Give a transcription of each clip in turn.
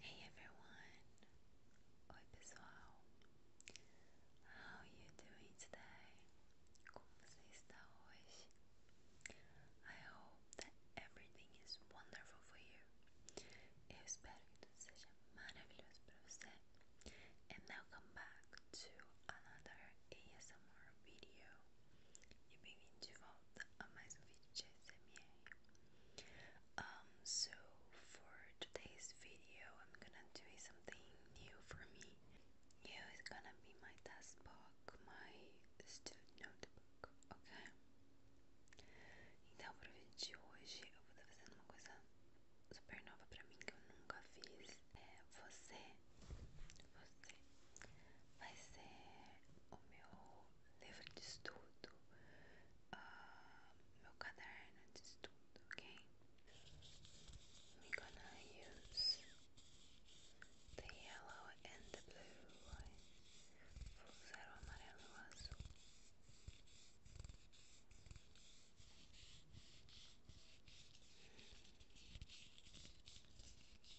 Hey everyone! Oi pessoal! How are you doing today? Como você está hoje? I hope that everything is wonderful for you. Eu espero que tudo seja maravilhoso para você. And now come back to another ASMR video. e bem-vindo de volta a mais um vídeo de ASMR. Um, so for today's video, I'm gonna do something new for me. New is gonna be my task book, my student notebook, ok? Então, para o vídeo de hoje, eu vou estar fazendo uma coisa super nova para mim que eu nunca fiz. É você você vai ser o meu livro de estudo, uh, meu caderno de estudo, ok? We're gonna use the yellow and the blue. Vou usar o amarelo e o azul.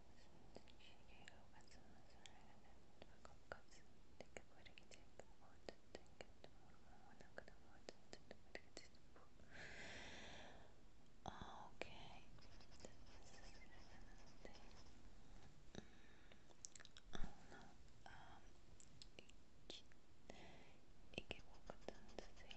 시계가 말씀하시는 것까지는 되게 빠르게 되고 어쨌든 근데 모르고 워낙 그나마 어쨌든 빠르게 되고 아 오케이 됐는데 아 오늘 아 이게 뭐가 다른데 아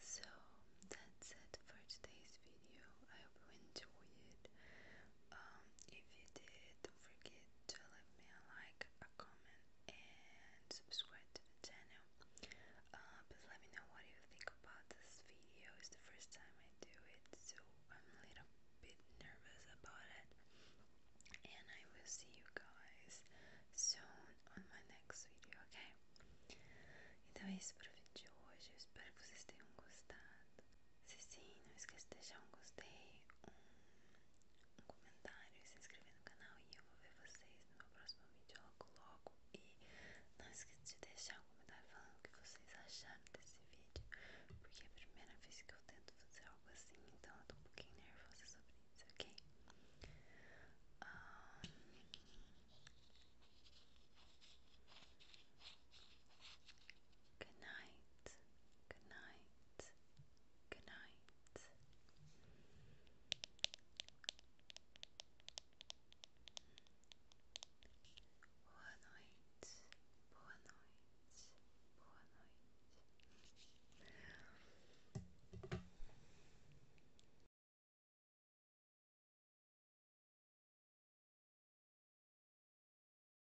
So that's it for today's video. I hope you enjoyed um, if you did, don't forget to leave me a like, a comment, and subscribe to the channel. Uh, let me know what you think about this video. It's the first time I do it, so I'm a little bit nervous about it. And I will see you guys soon on my next video, ok? Então é isso para o vídeo hoje. espero que vocês tenham gostado. Se sim, não esqueça de deixar um gostei, um, comentário e se inscrever no canal. E eu vou ver vocês no meu próximo vídeo logo logo. E não esqueça de deixar um comentário falando o que vocês acharam desse vídeo. Porque é a primeira vez que eu tento fazer algo assim, então eu tô um pouquinho nervosa sobre isso, ok? Ah, good night. Good night. Good night. Boa noite. Boa noite. Boa noite.